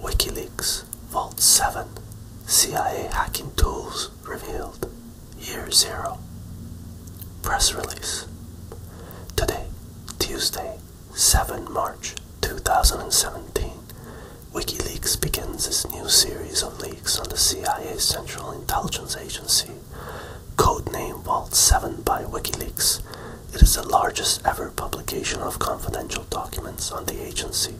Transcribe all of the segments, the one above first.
WikiLeaks Vault 7 CIA hacking tools revealed. Year Zero. Press release. Today, Tuesday, 7 March 2017, WikiLeaks begins its new series of leaks on the CIA Central Intelligence Agency codenamed Vault 7 by WikiLeaks, it is the largest ever publication of confidential documents on the agency.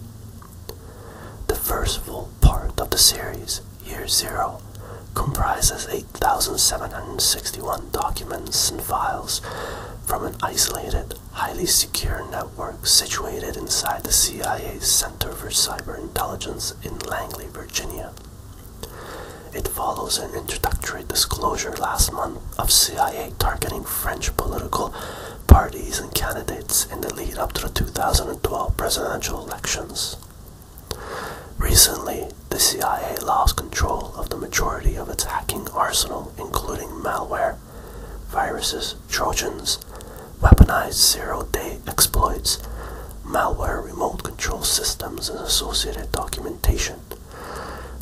The first full part of the series, Year Zero, comprises 8,761 documents and files from an isolated, highly secure network situated inside the CIA's Center for Cyber Intelligence in Langley, Virginia. It follows an introductory disclosure last month of CIA targeting French political parties and candidates in the lead up to the 2012 presidential elections. Recently, the CIA lost control of the majority of its hacking arsenal, including malware, viruses, trojans, weaponized zero day exploits, malware remote control systems, and associated documents.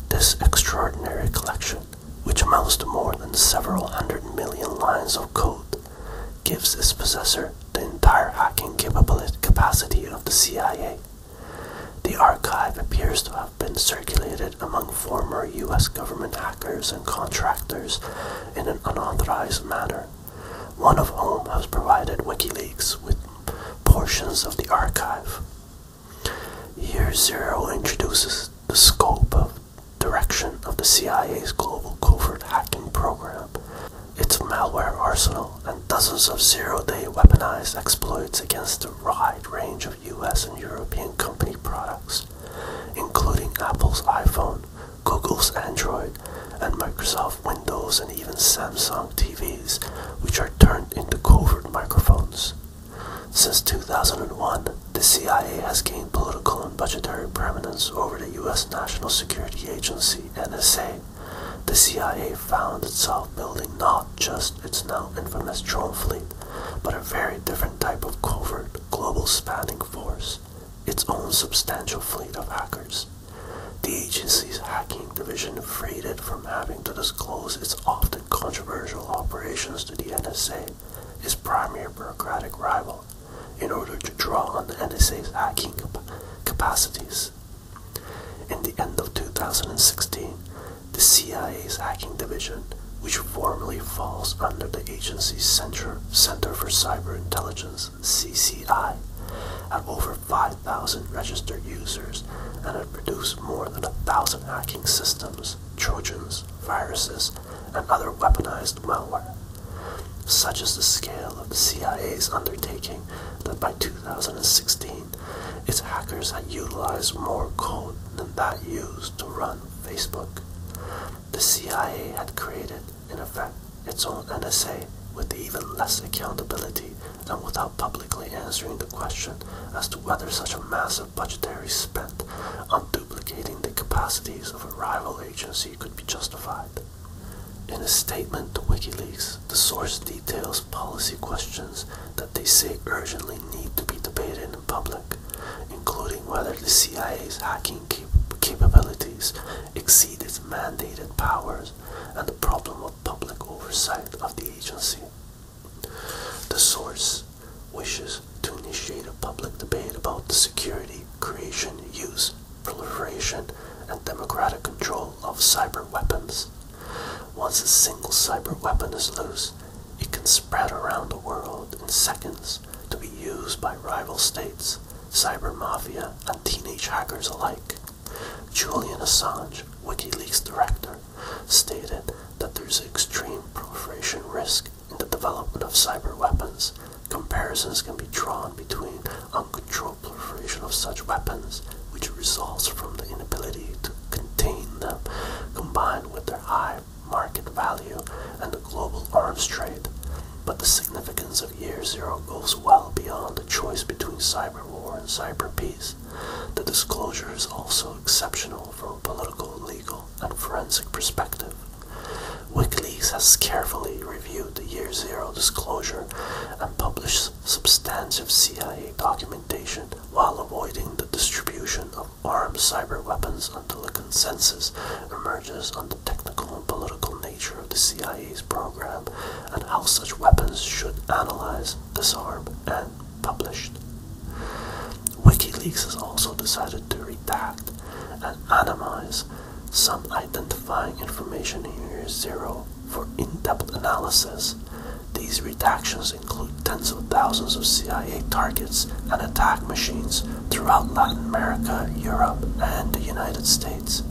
This extraordinary collection, which amounts to more than several hundred million lines of code, gives its possessor the entire hacking capacity of the CIA. The archive appears to have been circulated among former US government hackers and contractors in an unauthorized manner, one of whom has provided WikiLeaks with portions of the archive. Year Zero introduces the scope of direction of the CIA's global covert hacking program, its malware arsenal, and dozens of zero-day weaponized exploits against a wide range of US and European company products, including Apple's iPhone, Google's Android, and Microsoft Windows. Windows, and even Samsung TVs, which are turned into covert microphones. Since 2001, the CIA has gained political and budgetary prominence over the U.S. National Security Agency NSA. The CIA found itself building not just its now infamous drone fleet, but a very different type of covert, global spanning force, its own substantial fleet of hackers. The agency's hacking division freed it from having to disclose its often controversial operations to the NSA, its primary bureaucratic rival, in order to draw on the NSA's hacking capacities. In the end of 2016, the CIA's hacking division, which formally falls under the agency's Center, Center for Cyber Intelligence, CCI, had over 5,000 registered users and had produced more than a thousand hacking systems, trojans, viruses, and other weaponized malware. Such is the scale of the CIA's undertaking that by 2016, its hackers had utilized more code than that used to run Facebook. The CIA had created, in effect, its own NSA with even less accountability and without publicly answering the question as to whether such a massive budgetary spent on duplicating the capacities of a rival agency could be justified. In a statement to WikiLeaks, the source details policy questions that they say urgently need to be debated in public, including whether the CIA's hacking capabilities exceeded its mandated powers and the problem of public oversight of the agency. The source wishes to initiate a public debate about the security, creation, use, proliferation, and democratic control of cyber weapons. Once a single cyber weapon is loose, it can spread around the world in seconds to be used by rival states, cyber mafia, and teenage hackers alike. Julian Assange, WikiLeaks director, stated that there's extreme proliferation risk in the development of cyber weapons. Comparisons can be drawn between uncontrolled proliferation of such weapons, which results from the inability to contain them, combined with their high market value and the global arms trade. But the significance of Year Zero goes well beyond the choice between cyber war and cyber peace. The disclosure is also exceptional from a political, legal, and forensic perspective. WikiLeaks has carefully reviewed the Year Zero disclosure and published substantive CIA documentation while avoiding the distribution of armed cyber weapons until a consensus emerges on the technical and political nature of the CIA's program and how such weapons should analyze, disarm, and publish. WikiLeaks has also decided to redact and anonymize some identifying information in year zero for in-depth analysis. These redactions include tens of thousands of CIA targets and attack machines throughout Latin America, Europe, and the United States.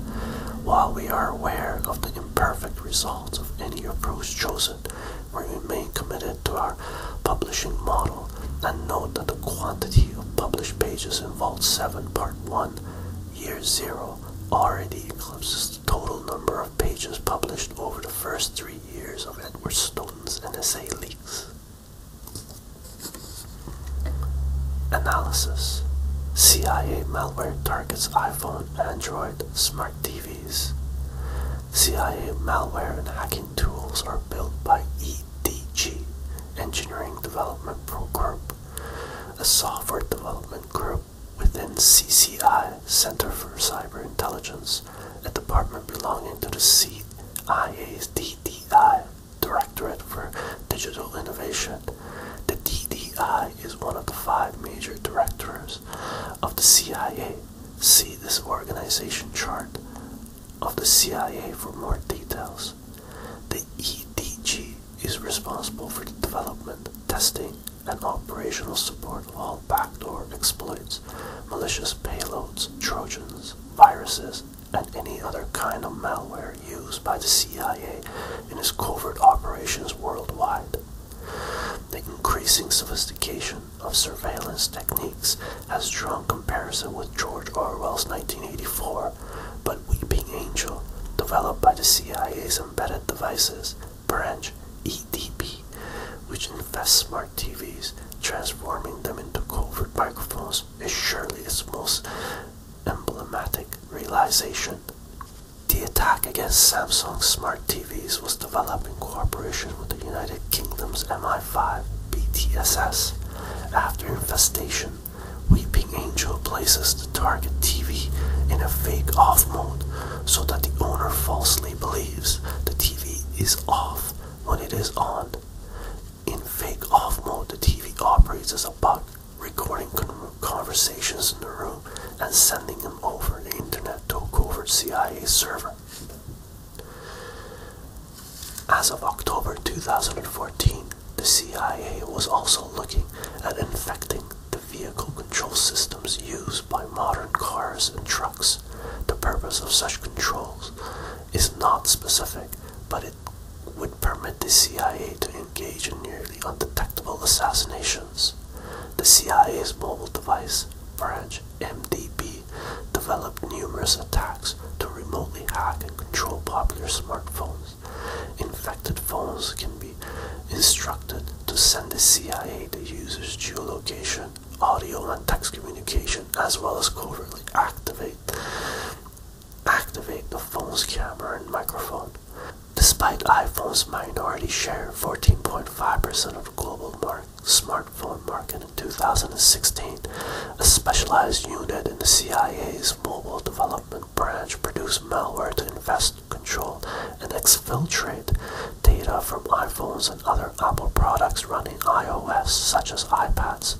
While we are aware of the imperfect results of any approach chosen, we remain committed to our publishing model and note that the quantity of published pages in involved 7 Part 1, Year 0 already eclipses the total number of pages published over the first three years of Edward Snowden's NSA leaks. Analysis CIA malware targets iPhone Android smart TVs. CIA malware and hacking tools are built by EDG, Engineering Development Pro Group, a software development group within CCI, Center for Cyber Intelligence, a department belonging to the CIA's DDI, Directorate for Digital Innovation the DDI is one of the five major directors of the CIA. See this organization chart of the CIA for more details. The EDG is responsible for the development, testing, and operational support of all backdoor exploits, malicious payloads, trojans, viruses, and any other kind of malware used by the CIA in his covert operations worldwide. The increasing sophistication of surveillance techniques has drawn comparison with George Orwell's 1984, but Weeping Angel, developed by the CIA's Embedded Devices Branch EDB, which infests smart TVs, transforming them into covert microphones, is surely its most emblematic realization. The attack against Samsung smart TVs was developed in cooperation with the United Kingdom's MI5 BTSS. After infestation, Weeping Angel places the target TV in a fake off mode so that the owner falsely believes the TV is off when it is on. In fake off mode, the TV operates as a bug recording conversations in the room and sending them over the internet to a covert CIA server. As of October 2014, the CIA was also looking at infecting the vehicle control systems used by modern cars and trucks. The purpose of such controls is not specific, but it would permit the CIA to engage in nearly undetectable assassinations. The CIA's mobile device branch, MDB, developed numerous attacks to remotely hack and control popular smartphones. Infected phones can be instructed to send the CIA the user's geolocation, audio, and text communication, as well as covertly activate activate the phone's camera and microphone. Despite iPhone's minority share, 14.5% of global smartphone market in 2016, a specialized unit in the CIA's mobile development branch produced malware to invest, control, and exfiltrate data from iPhones and other Apple products running iOS, such as iPads.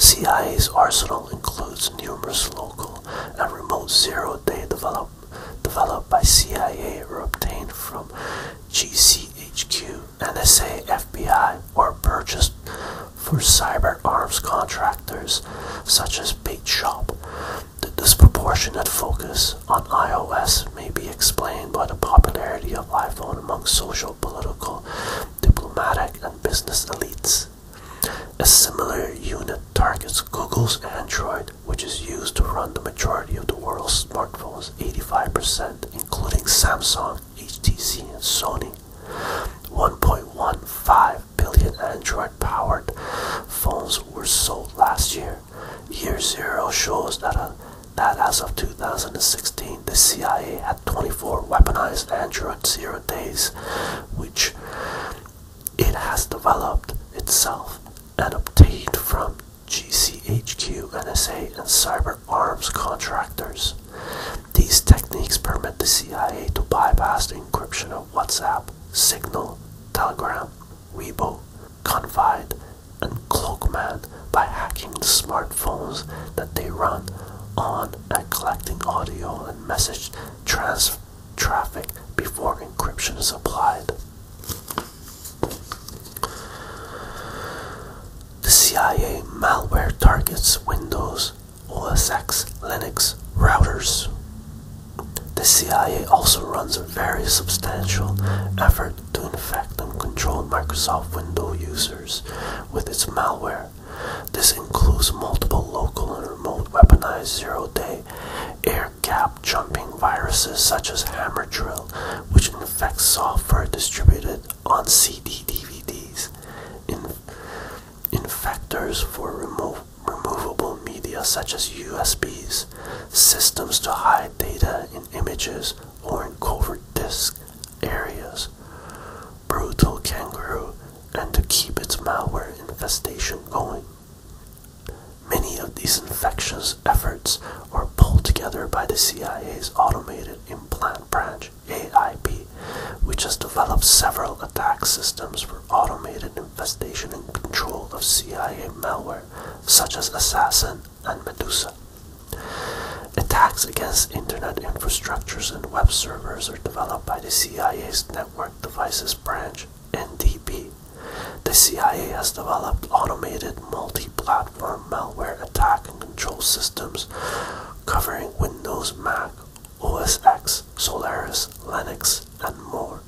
CIA's arsenal includes numerous local missile remote zero day develop, developed by CIA or obtained from GCHQ, NSA, FBI, or purchased for cyber arms contractors such as Bait Shop. The disproportionate focus on iOS may be explained by the popularity of iPhone among social, political, diplomatic, and business elites. A similar unit targets Google's Android, which is used to run the majority of the world's smartphones, 85%, including Samsung, HTC, and Sony. 1.15 billion Android powered phones were sold last year. Year zero shows that uh, as of 2016, the CIA had 24 weaponized Android zero days, which it has developed itself and obtained from GCHQ, NSA, and cyber arms contractors. These techniques permit the CIA to bypass the encryption of WhatsApp, Signal, Telegram, Weibo, Confide, and Cloakman by hacking the smartphones that they run on and collecting audio and message transfer traffic before encryption is applied. The CIA malware targets Windows, OS X, Linux routers. The CIA also runs a very substantial effort to infect and control Microsoft Windows users with its malware. This includes multiple local and remote weaponized zero-day air gap jumping viruses such as Hammer Drill, which infects software distributed on CD DVDs, infectors for removable media such as USBs, systems to hide data in images or in covert disk areas, brutal kangaroo, and to keep its malware infestation going. Many of these infectious efforts are pulled together by the CIA's automated implant branch, AIB, which has developed several attack systems for automated infestation and control of CIA malware, such as Assassin and Medusa. Attacks against internet infrastructures and web servers are developed by the CIA's Network Devices Branch NDP. The CIA has developed automated multi platform malware attack and control systems covering Windows, Mac, OS X, Solaris, Linux, and more,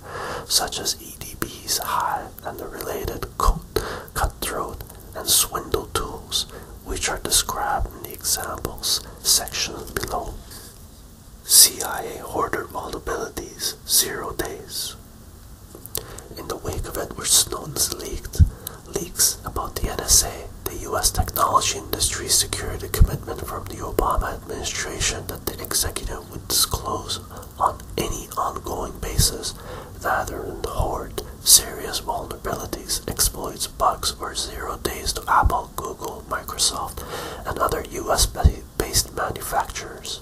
such as EDB's Hive and the related Code, Cutthroat, and Swindle tools, which are described in the examples section below. CIA ordered vulnerabilities zero days. In the wake of Edward Snowden's leaks about the NSA, the U.S. technology industry secured a commitment from the Obama administration that the executive would disclose on any ongoing basis rather than hoard serious vulnerabilities, exploits, bugs, or zero days to Apple Google, Microsoft, and other US based manufacturers.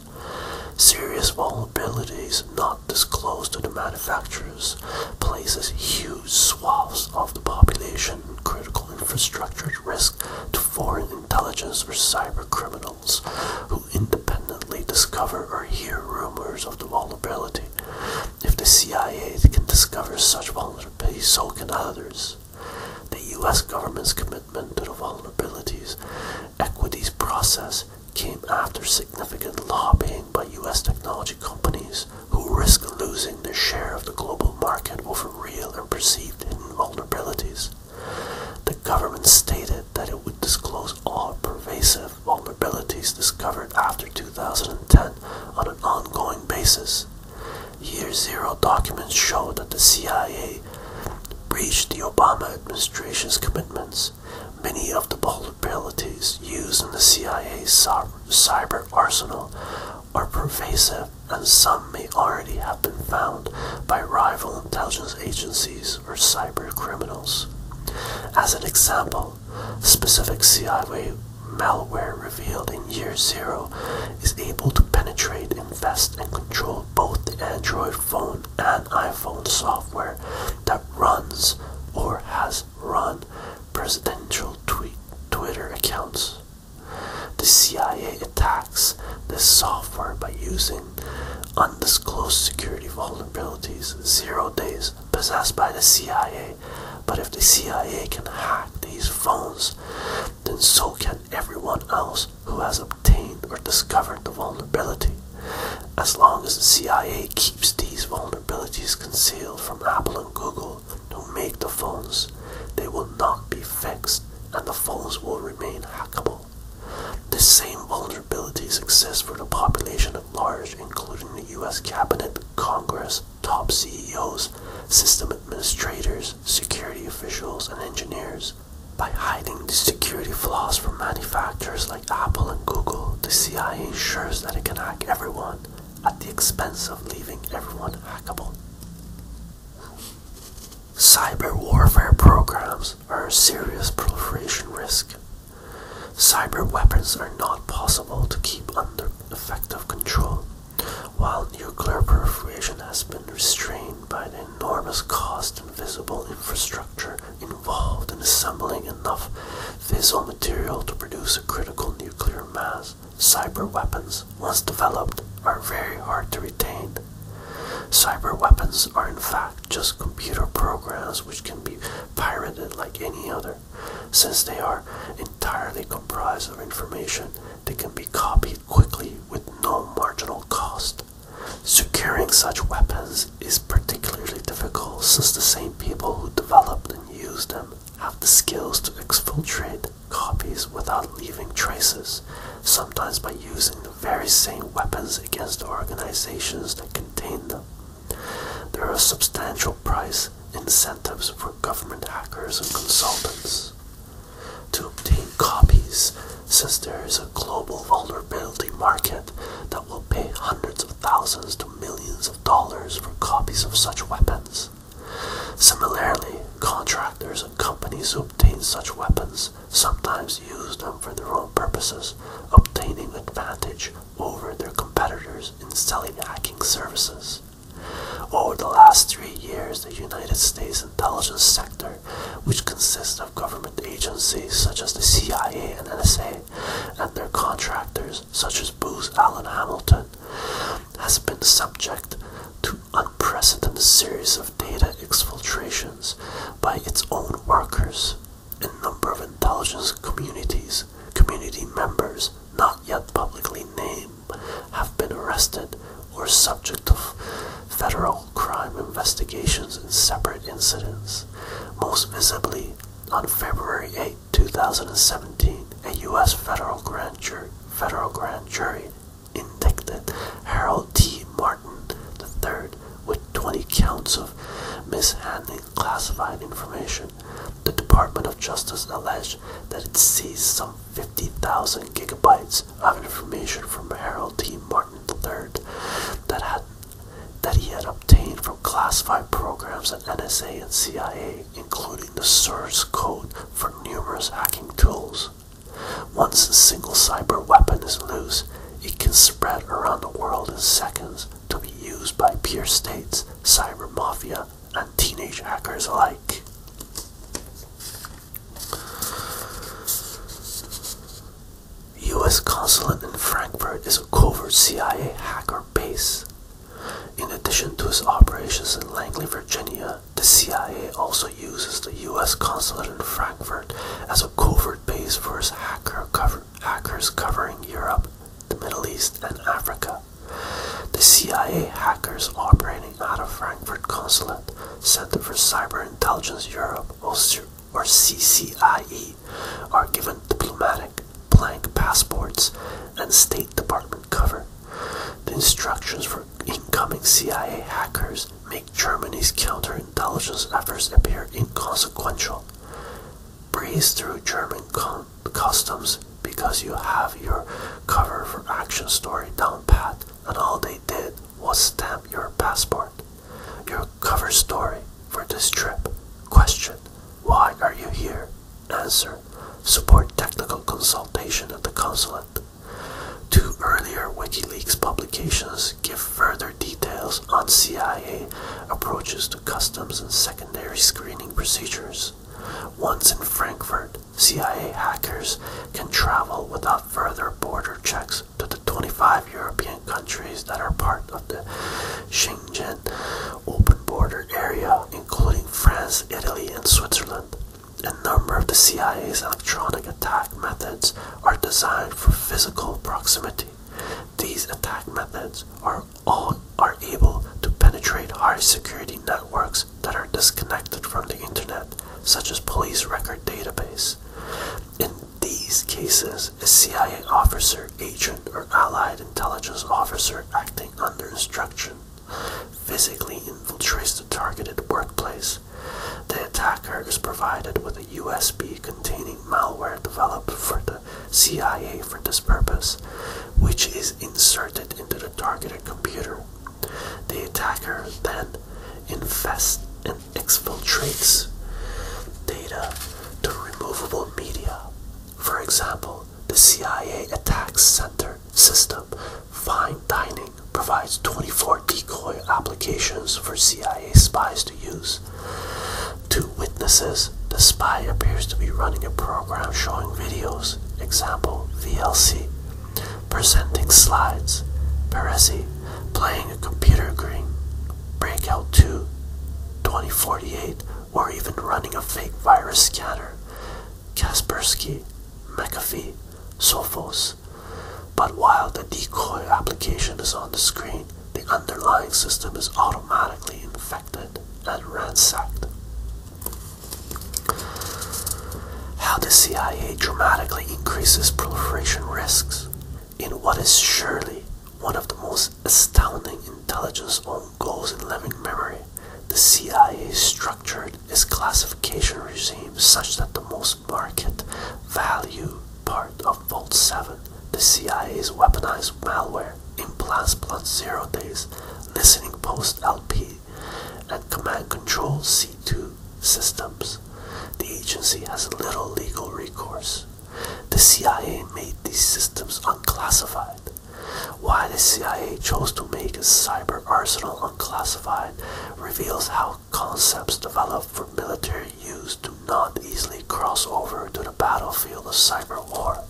Serious vulnerabilities not disclosed to the manufacturers places huge swaths of the population and critical infrastructure at risk to foreign intelligence or cybercriminals who independently discover or hear rumors of the vulnerability. If the CIA can discover such vulnerabilities, so can others. The US government's commitment to the vulnerabilities equities process came after significant lobbying by US technology companies who risk losing their share of the global market over real and perceived vulnerabilities. The government stated that it would disclose all pervasive vulnerabilities discovered after 2010 on an ongoing basis. Year Zero documents show that the CIA breached the Obama administration's commitments. Many of the vulnerabilities used in the CIA's cyber arsenal are pervasive, and some may already have been found by rival intelligence agencies or cyber criminals. As an example, specific CIA malware revealed in Year Zero is able to penetrate, invest, and control both the Android phone and iPhone software that runs or has run presidential Twitter accounts. The CIA attacks the software by using undisclosed security vulnerabilities, zero days possessed by the CIA. But if the CIA can hack these phones, then so can everyone else who has obtained or discovered the vulnerability. As long as the CIA keeps these vulnerabilities concealed from Apple and Google, who make the phones, they will not be fixed and the phones will remain hackable. The same vulnerabilities exist for the population at large, including the US Cabinet, Congress, top CEOs, system administrators, security officials, and engineers. By hiding the security flaws from manufacturers like Apple and Google, the CIA ensures that it can hack everyone at the expense of leaving everyone hackable. Cyber warfare programs are a serious proliferation risk. Cyber weapons are not possible to keep under effective control while nuclear proliferation has been restrained by the enormous cost and visible infrastructure involved in assembling enough fissile material to produce a critical nuclear mass, cyber weapons, once developed, are very hard to retain. Cyber weapons are in fact just computer programs which can be pirated like any other. Since they are entirely comprised of information, that can be copied quickly with no marginal cost. Securing such weapons is particularly difficult since the same people who developed and used them have the skills to exfiltrate copies without leaving traces, sometimes by using the very same weapons against the organizations that contain them. There are substantial price incentives for government hackers and consultants to obtain copies since there is a global vulnerability market that will pay hundreds of thousands to millions of dollars for copies of such weapons. Similarly, contractors and companies who obtain such weapons sometimes use them for their own purposes, obtaining advantage over their competitors in selling hacking services. Over the last three years, the United States intelligence sector, which consists of government agencies such as the CIA and NSA and their contractors such as Booz Allen Hamilton, has been subject to unprecedented series of data exfiltrations by its own workers and number of intelligence communities, community members not yet publicly named have been arrested or subject of federal crime investigations in separate incidents. Most visibly, on February 8, 2017, a U.S. federal grand jury, federal grand jury indicted Harold T. Martin III with 20 counts of mishandling classified information. The Department of Justice alleged that it seized some 50,000 gigabytes of information from Harold T. Martin III that, that he had obtained from classified programs at NSA and CIA, including the source code for numerous hacking tools. Once a single cyber weapon is loose, it can spread around the world in seconds to be used by peer states, cyber mafia, and teenage hackers alike. U.S. consulate in Frankfurt is a covert CIA hacker base. In addition to its operations in Langley, Virginia, the CIA also uses the U.S. consulate in Frankfurt as a covert base for its hacker hackers covering Europe, the Middle East, and Africa. The CIA hackers operating out of Frankfurt Consulate Center for Cyber Intelligence Europe, or CCIE, are given diplomatic blank passports and State Department cover. The instructions for incoming CIA hackers make Germany's counterintelligence efforts appear inconsequential. Breeze through German customs because you have your cover for action story down pat and all they did was stamp your passport. Your cover story for this trip. Question Why are you here? Answer Support technical consultation at the consulate. Two earlier WikiLeaks publications give further details on CIA approaches to customs and secondary screening procedures. Once in Frankfurt, CIA hackers can travel without further border checks to the 25 European countries that are part of the Schengen open border area, including France, Italy, and Switzerland. A number of the CIA's electronic attack methods are designed for physical proximity. These attack methods are all are able to penetrate high security networks that are disconnected from the internet, such as police record database. In these cases, a CIA officer, agent, or allied intelligence officer acting under instruction physically infiltrates the targeted workplace. The attacker is provided with a USB containing malware developed for the CIA for this purpose, which is inserted into the targeted computer. The attacker then infests and exfiltrates data to removable media. For example, the CIA Attack Center system, Fine Dining, provides 24 decoy applications for CIA spies to use. To witnesses, the spy appears to be running a program showing videos, example VLC, presenting slides, Peresi playing a computer game, Breakout 2, 2048, or even running a fake virus scanner, Kaspersky, McAfee, Sophos. But while the decoy application is on the screen, the underlying system is automatically infected and ransacked. How the CIA dramatically increases proliferation risks in what is surely one of the most astounding intelligence own goals in living memory. The CIA structured its classification regime such that the most market value part of Vault 7, the CIA's weaponized malware, implants plus zero days, listening post LP and Command Control C2 systems. The agency has little legal recourse. The CIA made these systems unclassified. Why the CIA chose to make its cyber arsenal unclassified reveals how concepts developed for military use do not easily cross over to the battlefield of cyber war.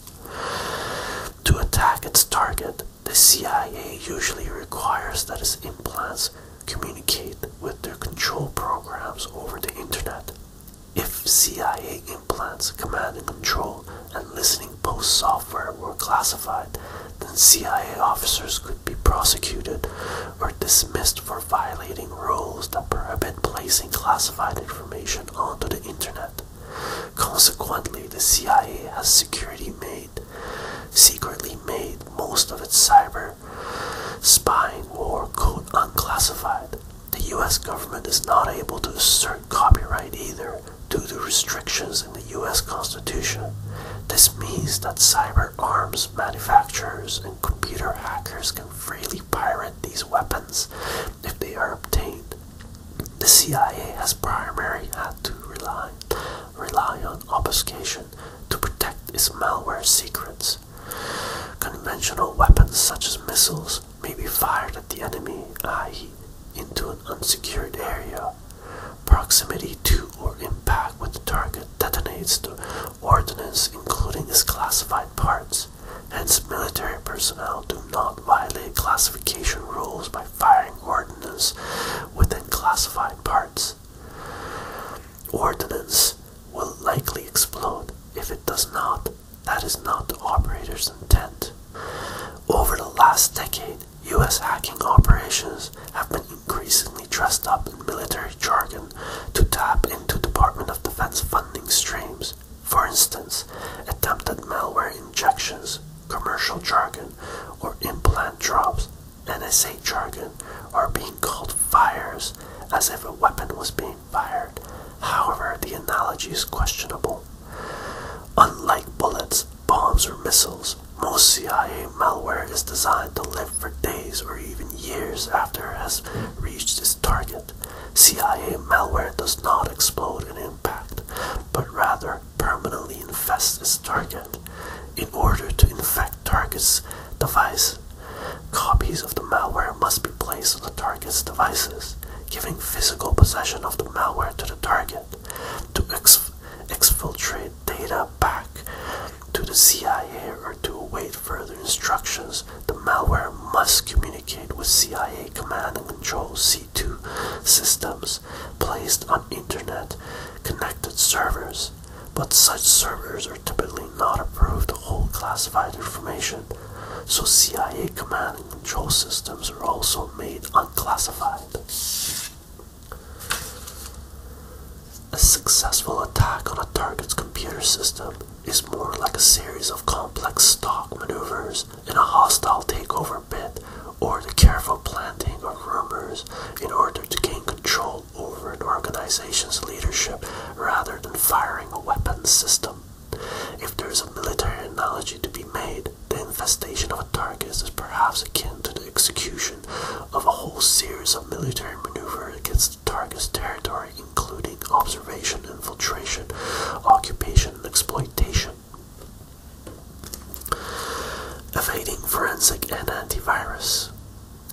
To attack its target, the CIA usually requires that its implants communicate with their control programs over the internet. If CIA implants, command and control, and listening post software were classified, then CIA officers could be prosecuted or dismissed for violating rules that prohibit placing classified information onto the internet. Consequently, the CIA has security made secretly made most of its cyber spying war code unclassified. The US government is not able to assert copyright either due to restrictions in the US Constitution. This means that cyber arms manufacturers and computer hackers can freely pirate these weapons if they are obtained the CIA has primarily had to rely, rely on obfuscation to protect its malware secrets. Conventional weapons such as missiles may be fired at the enemy, i.e., into an unsecured area. Proximity to or impact with the target detonates the ordnance, including its classified parts. Hence, military personnel do not violate classification rules by firing ordnance within classified parts. Ordnance will likely explode. If it does not, that is not the operator's intent. Over the last decade, US hacking operations have been increasingly dressed up in military jargon to tap into Department of Defense funding streams. For instance, attempted malware injections, commercial jargon, jargon or implant drops, NSA jargon, are being called fires as if a weapon was being fired. However, the analogy is questionable. Unlike bullets, bombs, or missiles, most CIA malware is designed to live for days or even years after it has reached its target. CIA malware does not explode in impact, but rather permanently infest its target in order to infect target's device. Copies of the malware must be placed on the target's devices, giving physical possession of the malware to the target to exfiltrate data back to the CIA or to await further instructions. The malware must communicate with CIA Command and Control C Two systems placed on internet connected servers, but such servers are typically not approved to hold classified information, so CIA command and control systems are also made unclassified. A successful attack on a target's computer system is more like a series of complex stock maneuvers in a hostile takeover bid or the careful planting of rumors in order to gain control over an organization's leadership rather than firing a weapon system. If there is a military analogy to be made, the infestation of a target is perhaps akin to the execution of a whole series of military maneuvers against the target's territory, including observation, infiltration, occupation, and exploitation. Evading forensic and antivirus.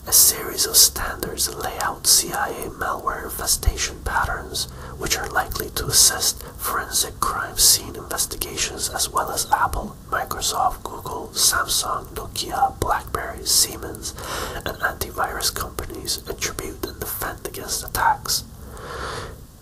A series of standards lay out CIA malware infestation patterns, which are likely to assist forensic crime scene investigations as well as Apple, Microsoft, Google, Samsung, Nokia, Blackberry, Siemens, and antivirus companies attribute and defend against attacks.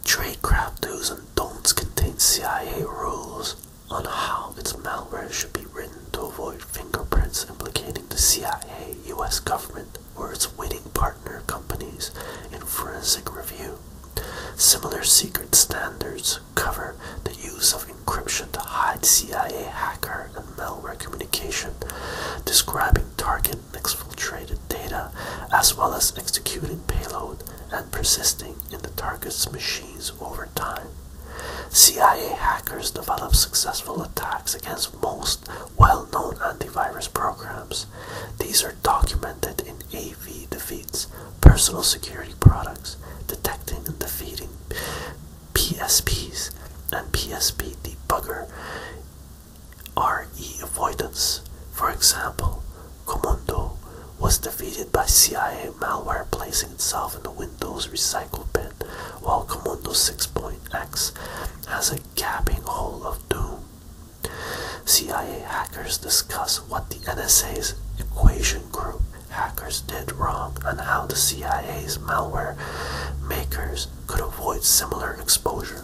Tradecraft do's and don'ts contain CIA rules on how its malware should be written to avoid fingerprints implicating the CIA, US government, or its winning partner companies in forensic review. Similar secret standards cover the use of encryption to hide CIA hacker and malware communication, describing target and exfiltrated data, as well as executing payload and persisting in the target's machines over time. CIA hackers develop successful attacks against most well-known antivirus programs. These are documented in AV defeats, personal security products, detecting and defeating PSPs, and PSP debugger RE avoidance. For example, Comondo was defeated by CIA malware placing itself in the Windows recycle bin, while Comondo 6.x has a gaping hole of doom. CIA hackers discuss what the NSA's Equation Group hackers did wrong and how the CIA's malware makers could avoid similar exposure.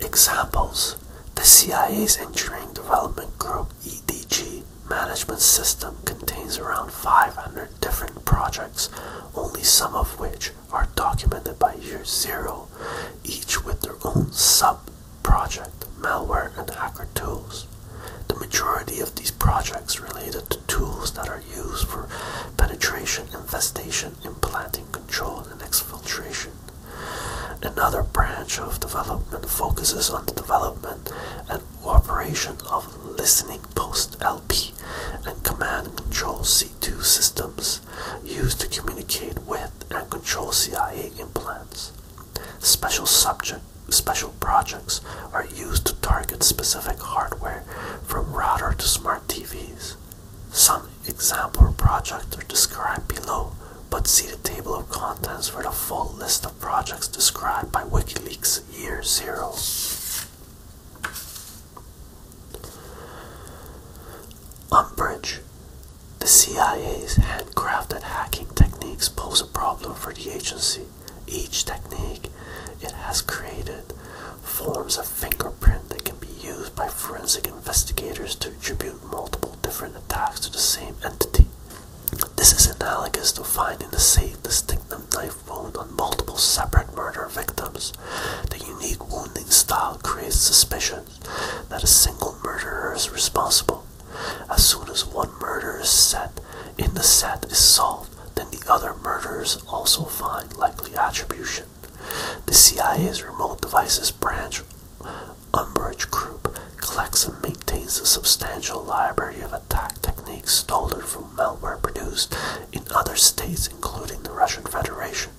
Examples The CIA's Engineering Development Group EDG management system contains around 500 different projects, only some of which are documented by year zero, each with their own sub project, malware, and hacker tools. The majority of these projects related to tools that are used for penetration, infestation, implanting control, and exfiltration. Another branch of development focuses on the development and operation of listening post LP and command control C2 systems used to communicate with and control CIA implants. Special subject special projects are used to target specific hardware from router to smart TVs. Some example projects are described below, but see the table of contents for the full list of projects described by WikiLeaks Year Zero. Umbridge. The CIA's handcrafted hacking techniques pose a problem for the agency. Each technique it has created forms of fingerprint that can be used by forensic investigators to attribute multiple different attacks to the same entity. This is analogous to finding the same distinctive knife wound on multiple separate murder victims. The unique wounding style creates suspicion that a single murderer is responsible. As soon as one murder is set in the set is solved, then the other murders also find likely attribution. The CIA's Remote Devices Branch Umbrage Group collects and maintains a substantial library of attack techniques stolen from malware produced in other states, including the Russian Federation.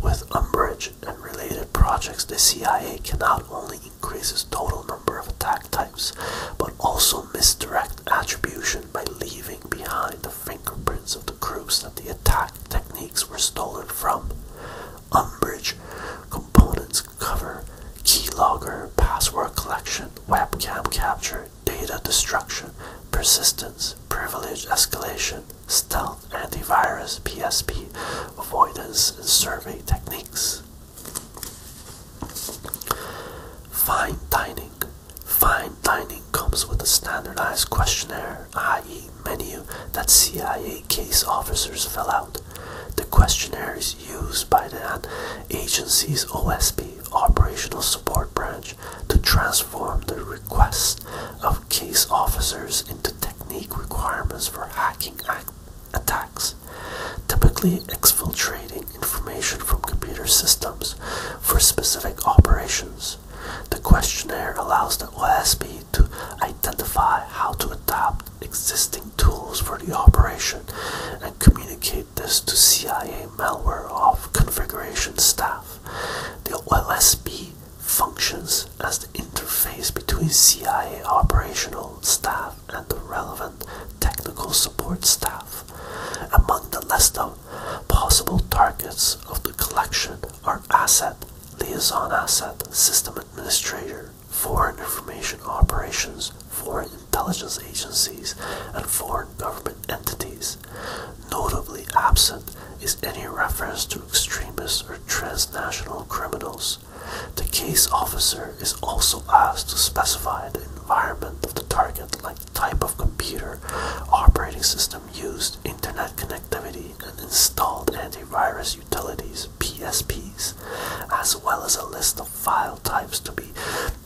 With Umbrage and related projects, the CIA can not only increase its total number of attack types, but also misdirect attribution by leaving behind the the fingerprints of the groups that the attack techniques were stolen from. Umbridge components cover, keylogger, password collection, webcam capture, data destruction, persistence, privilege escalation, stealth antivirus, PSP, avoidance, and survey techniques. Fine dining. Fine dining comes with a standardized questionnaire, i.e., menu that CIA case officers fill out. The questionnaire is used by that agency's OSB, Operational Support Branch, to transform the requests of case officers into technique requirements for hacking attacks, typically exfiltrating information from computer systems for specific operations. The questionnaire allows the OSB to identify how to adapt existing tools for the operation and communicate this to CIA malware of configuration staff. The OSB functions as the interface between CIA operational staff and the relevant technical support staff. Among the list of possible targets of the collection are Asset, Liaison Asset, System Administrator, Foreign Information Operations, Foreign Intelligence Agencies, and Foreign Government Entities. Notably absent is any reference to extremists or transnational criminals. The case officer is also asked to specify the environment of the target, like type of computer, operating system, used internet connectivity and installed antivirus utilities PSPs, as well as a list of file types to be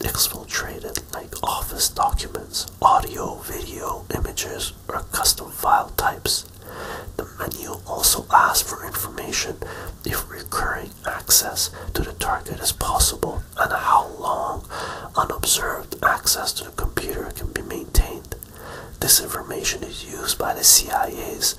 exfiltrated, like office documents, audio, video, images, or custom file types. The menu also asks for information if recurring access to the target is possible and how long unobserved access to the computer can be maintained. This information is used by the CIA's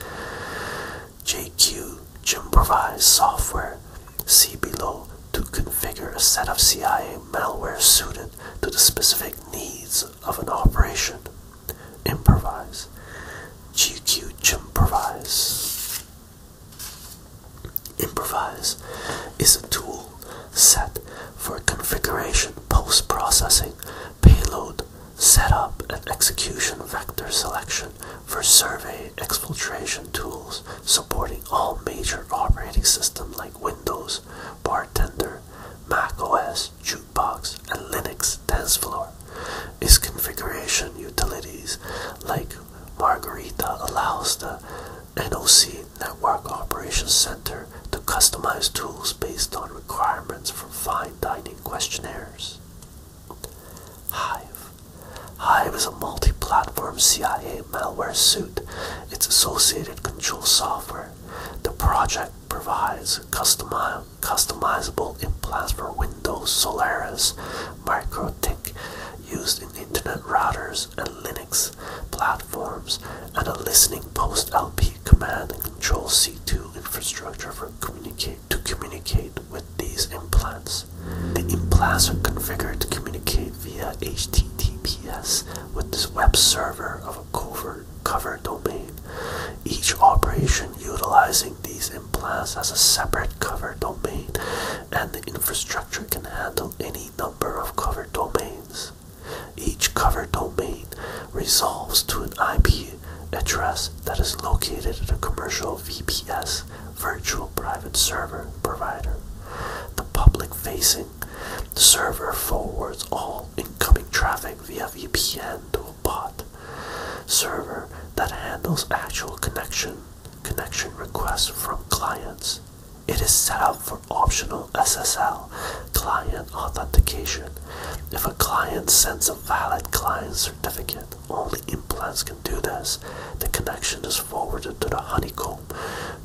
JQ Jimprovised software, see below, to configure a set of CIA malware suited to the specific needs of an operation. Improvise. GQ Jimprovise. Improvise is a tool set for configuration post-processing, payload, setup and execution vector selection for survey exfiltration tools supporting all major operating systems like Windows, Bartender, Mac OS, Jukebox, and Linux TensorFlow. Its configuration utilities like Margarita allows the NOC Network Operations Center to customize tools based on requirements from fine dining questionnaires. Hive. Hive is a multi-platform CIA malware suite, its associated control software. The project provides customi customizable implants for Windows, Solaris, MikroTik, used in internet routers and Linux platforms, and a listening post LP command and control C2 infrastructure for to communicate with these implants. The implants are configured to communicate via HTTPS with this web server of a covert cover domain. Each operation utilizing these implants as a separate cover domain, and the infrastructure can handle any number of cover domains. Each covered domain resolves to an IP address that is located at a commercial VPS virtual private server provider. The public facing server forwards all incoming traffic via VPN to a bot server that handles actual connection connection requests from clients. It is set up for optional SSL client authentication. If a client sends a valid client certificate, only implants can do this. The connection is forwarded to the honeycomb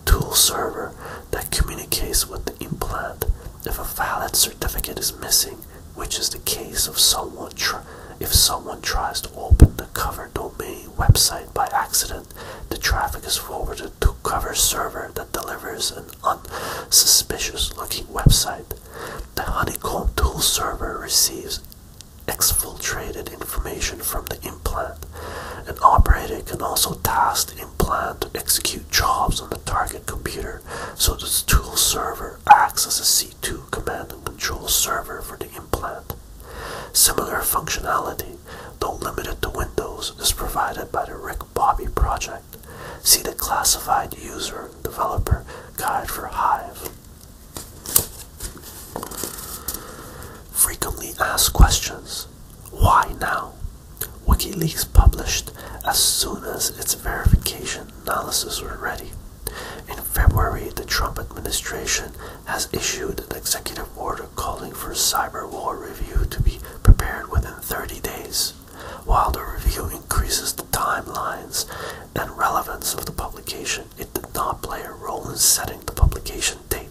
tool server that communicates with the implant. If a valid certificate is missing, which is the case if someone tries to open the covered domain website by accident, the traffic is forwarded created cover server that delivers an unsuspicious-looking website. The Honeycomb Tool server receives exfiltrated information from the implant. An operator can also task the implant to execute jobs on the target computer, so the tool server acts as a C2 command and control server for the implant. Similar functionality though limited to Windows, is provided by the Rick Bobby project. See the classified user developer guide for Hive. Frequently asked questions. Why now? WikiLeaks published as soon as its verification analysis were ready. In February, the Trump administration has issued an executive order calling for a cyber war review to be prepared within 30 days, while the review increases the timelines and relevance of the publication, it did not play a role in setting the publication date.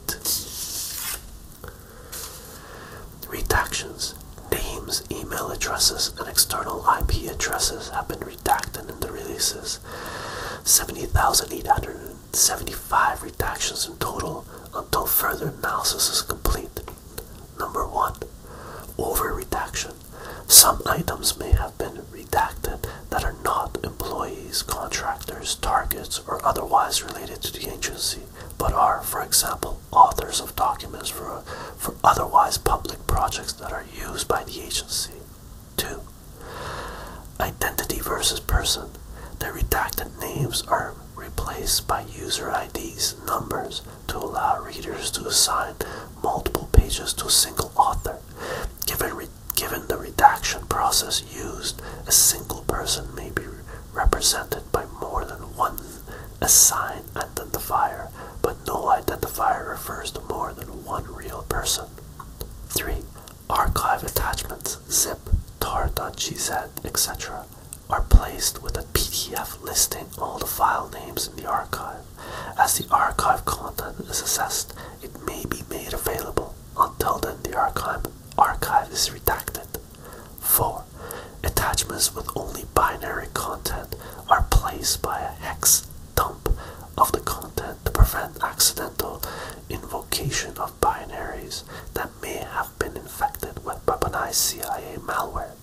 Redactions. Names, email addresses, and external IP addresses have been redacted in the releases. 70,800 75 redactions in total until further analysis is complete. Number 1. Over redaction. Some items may have been redacted that are not employees, contractors, targets, or otherwise related to the agency, but are, for example, authors of documents for, for otherwise public projects that are used by the agency. 2. Identity versus person. The redacted names are replaced by user IDs numbers to allow readers to assign multiple pages to a single author. Given, given the redaction process used, a single person may be represented by more than one assign identifier, but no identifier refers to more than one real person. 3. Archive attachments zip, tar, gz, etc., are placed with a PDF listing all the file names in the archive. As the archive content is assessed, it may be made available. Until then, the archive, archive is redacted. 4. Attachments with only binary content are placed by a hex dump of the content to prevent accidental invocation of binaries that may have been infected with weaponized CIA malware.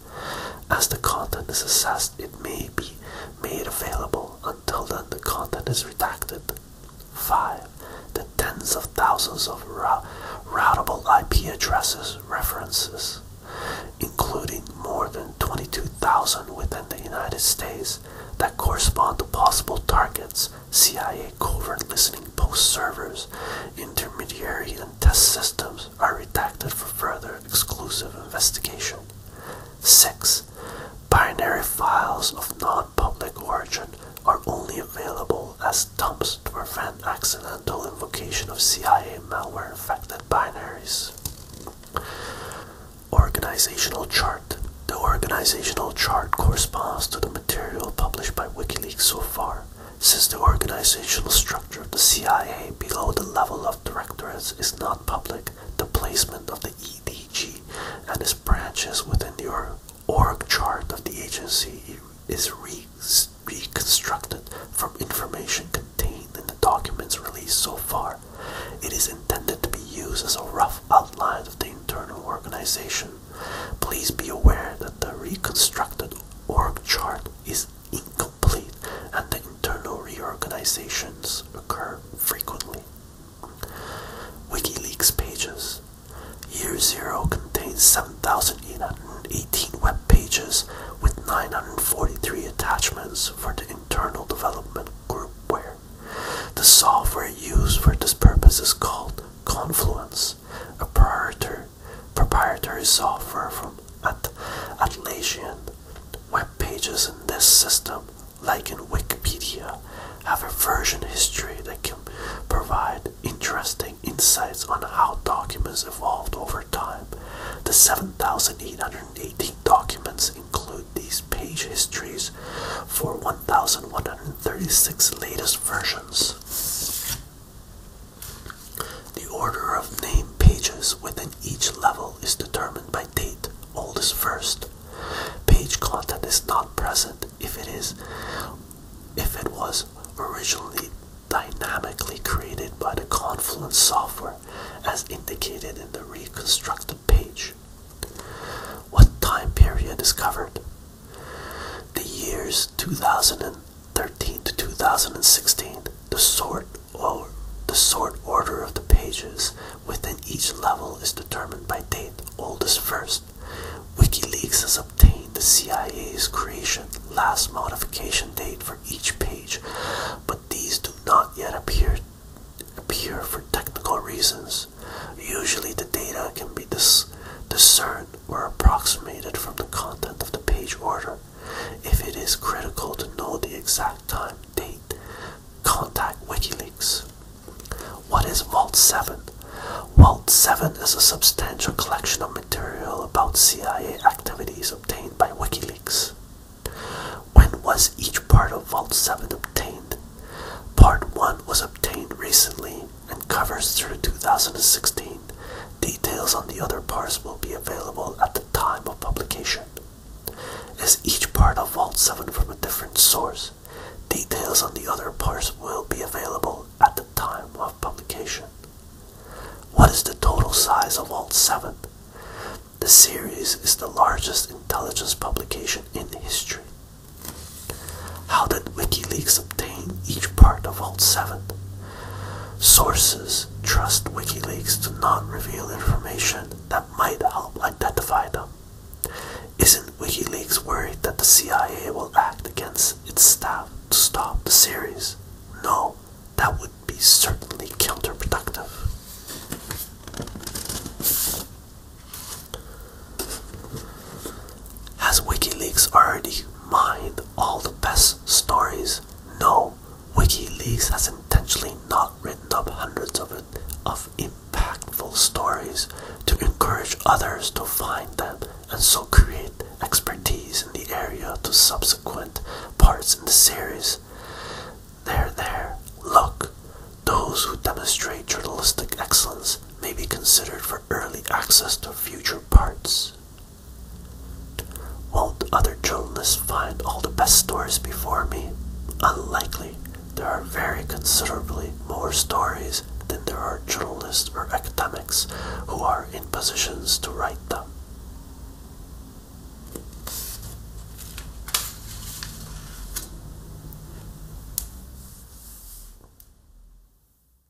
As the content is assessed, it may be made available. Until then, the content is redacted. 5. The tens of thousands of routable IP addresses references, including more than 22,000 within the United States, that correspond to possible targets CIA covert listening post servers, intermediary, and test systems are redacted for further exclusive investigation. 6. Binary files of non public origin are only available as dumps to prevent accidental invocation of CIA malware infected binaries. Organizational chart. The organizational chart corresponds to the material published by WikiLeaks so far, since the organizational structure of the CIA below the level of directorates is not public, the placement of the EDG and its branches within the org chart of the agency is reconstructed from information contained in the documents released so far. It is intended to be used as a rough outline of the internal organization Please be aware that the reconstructed org chart is incomplete and the internal reorganizations occur frequently. WikiLeaks pages. Year Zero contains 7,818 web pages with 943 attachments for the internal development groupware. The software used for this purpose is called Confluence proprietary software from At Atlassian. Web pages in this system, like in Wikipedia, have a version history that can provide interesting insights on how documents evolved over time. The 7,818 documents include these page histories for 1,136 latest versions. The order of name pages within each level is determined by date, oldest first. Page content is not present if it is if it was originally dynamically created by the Confluence software as indicated in the reconstructed page. What time period is covered? The years 2013 to 2016, the sort or the sort order of the pages within each level is determined by date, oldest first. WikiLeaks has obtained the CIA's creation last modification date for each page, but these do not yet appear appear for technical reasons. Usually, the data can be discerned or approximated from the content of the page order. If it is critical to know the exact time, date, contact WikiLeaks. What is Vault 7? Vault 7 is a substantial collection of material about CIA activities obtained by WikiLeaks. When was each part of Vault 7 obtained? Part 1 was obtained recently and covers through 2016. Details on the other parts will be available at the time of publication. As each part of Vault 7 from a different source? Details on the other parts will be available at the time of publication. What is the total size of Vault 7? The series is the largest intelligence publication in history. How did WikiLeaks obtain each part of Vault 7? Sources trust WikiLeaks to not reveal information that might help identify them. Isn't WikiLeaks worried that the CIA will act against its staff to stop the series? No, that would be certainly counterproductive. Has WikiLeaks already mined all the best stories? No, WikiLeaks has intentionally not written up hundreds of, of impactful stories to encourage others to find them and so create expertise in the area to subsequent parts in the series. There, there, look, those who demonstrate journalistic excellence may be considered for early access to future parts. Won't other journalists find all the best stories before me? Unlikely. There are very considerably more stories than there are journalists or academics who are in positions to write them.